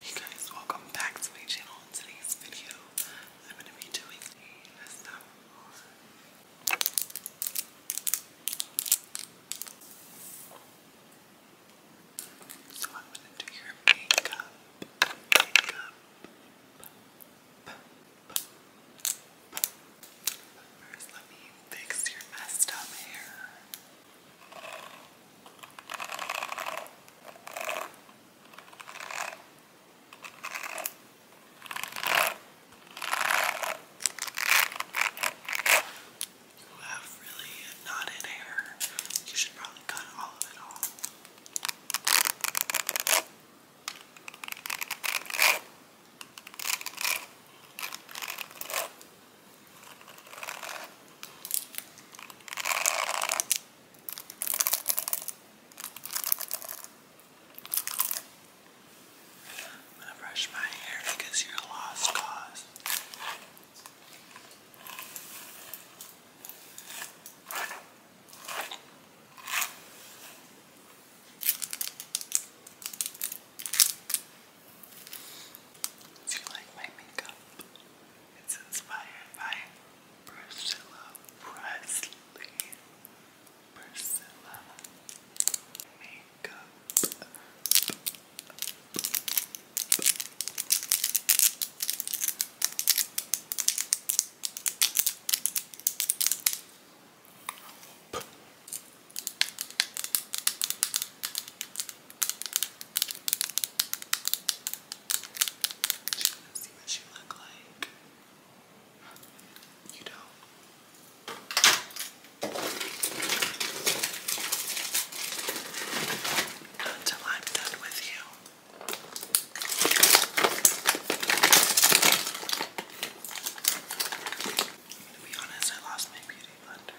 Hey guys, welcome back to my channel. In today's video, I'm going to be doing a ASMR So I'm going to do your makeup, makeup, First, let me fix your messed up hair. You have really knotted hair. You should probably cut all of it off. I'm gonna brush my hair because you're a lost cause. Do you like my makeup? It's inspired by Priscilla Presley. Priscilla makeup. You wanna see what she look like? You don't. Not until I'm done with you. I'm gonna be honest, I lost my beauty blender.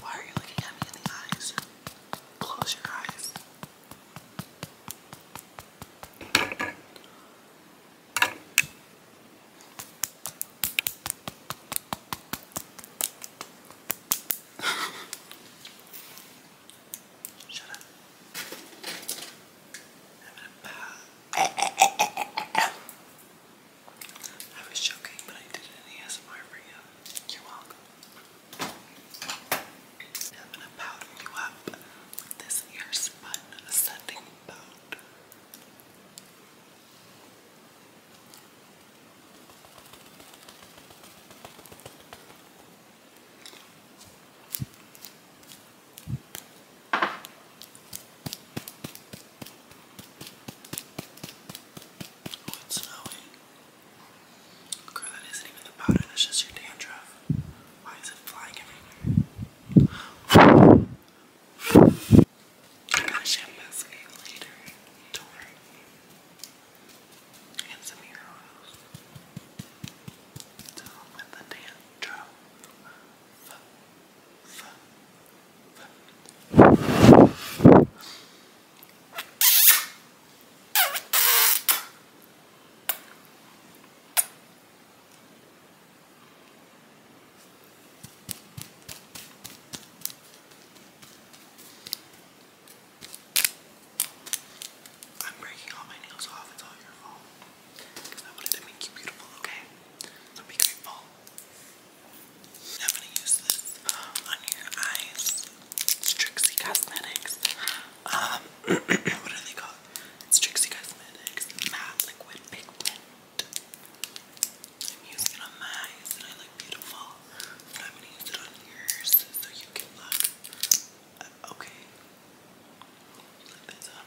Why are you looking at me in the eyes? Close your eyes. Shut up. I was joking, but I did an ASMR for you. You're welcome. I'm gonna powder you up with this earspun setting powder. Oh, it's snowing. Girl, that isn't even the powder, that's just your dandruff. Why is it flying everywhere? I'm gonna shampoo this later. Don't worry. And some heroes. So with the dance drum. F -f I'm breaking all my nails off, it's all your fault. Because I wanted to make you beautiful, okay? be grateful. I'm gonna use this on your eyes. Trixie Cosmetics. Um, what are they called? It's Trixie Cosmetics Matte Liquid Pigment. I'm using it on my eyes and I look beautiful. But I'm gonna use it on yours so you can look uh, okay. Look this up.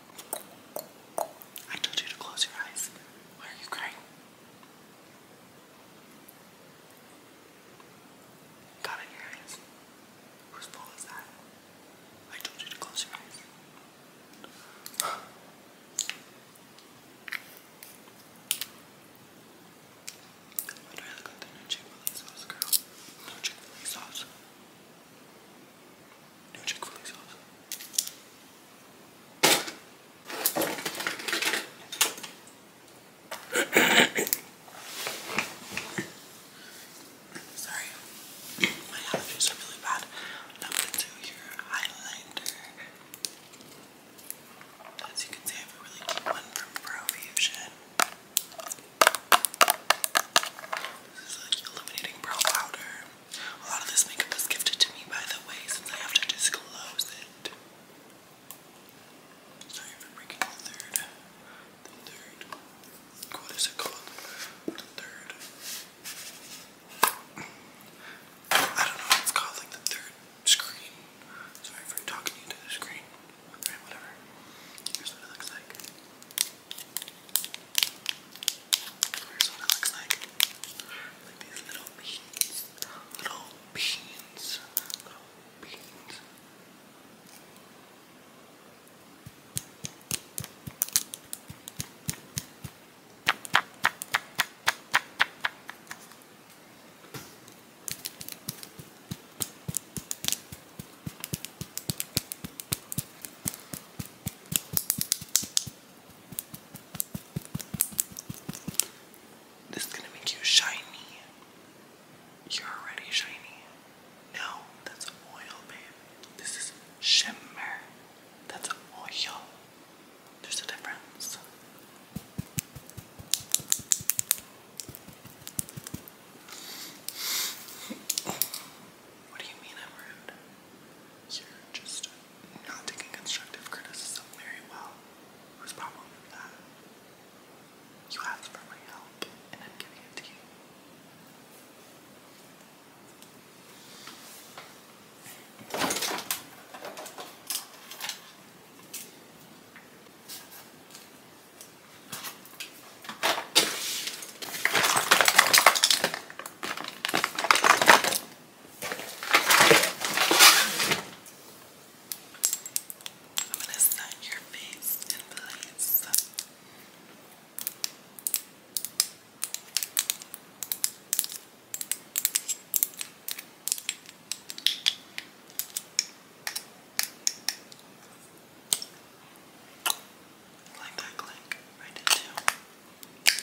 I told you to close your eyes. Why are you crying? Got your eyes. Whose fault is that? I told you to close your eyes. I'd rather go than a chick sauce, girl. No chick sauce. New Sorry, my allergies are really bad. Number two, your highlighter. As you can see, I have a really cute one from Profusion. This is like illuminating brow powder. A lot of this makeup was gifted to me, by the way, since I have to disclose it. Sorry for breaking the third. The third. What is it called? The third. I don't know it's called, like the third screen. Sorry for talking into the screen. whatever. Here's what it looks like. Here's what it looks like. Like these little beans. Little beans. Little beans. All this is gonna make you shiny. You're already shiny. No, that's oil, babe. This is shimmer. That's oil. There's a difference. What do you mean I'm rude? You're just not taking constructive criticism very well. Whose problem is that? You asked for my help, and I'm giving it to you. I'm going to set your face in place. Like that click, right into.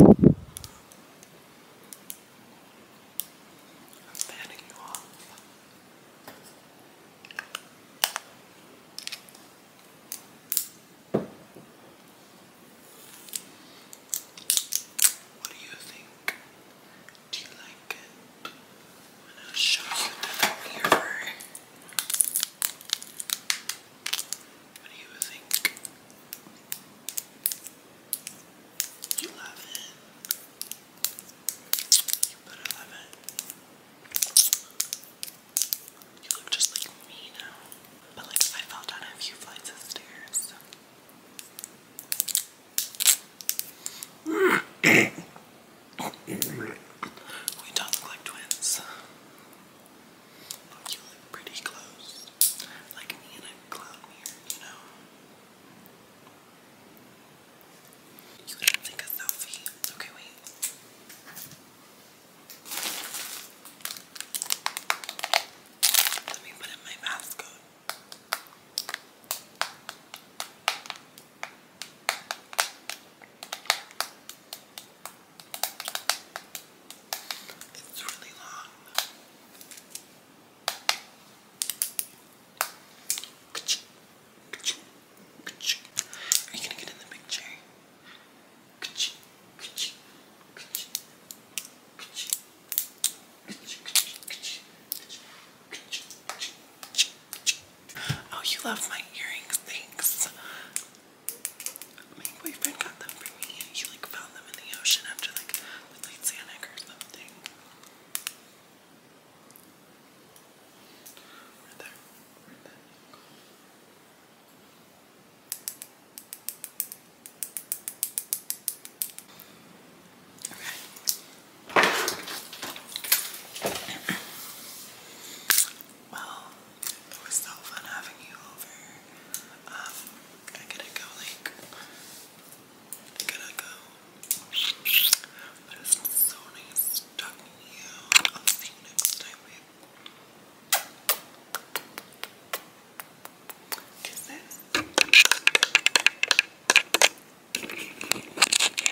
I'm fanning you off. What do you think? Do you like it? And I'll show you the mirror. What do you think? You love it. You better love it. You look just like me now. But like I fell down a few flights of stairs we talk like twins. you look pretty close. Like me and a clown here, you know? You didn't think a selfie. Okay, wait. Let me put in my mask. It's really long. Are you gonna get in the picture? Oh, you love my earrings. Thanks. My boyfriend got them for me. He like found them in the ocean after like the Titanic or something. Right there. Right there. Okay. Well, it was so fun having you over. Um, I gotta go, like, I to go. But it so nice talking to you. I'll see you next time, Kisses.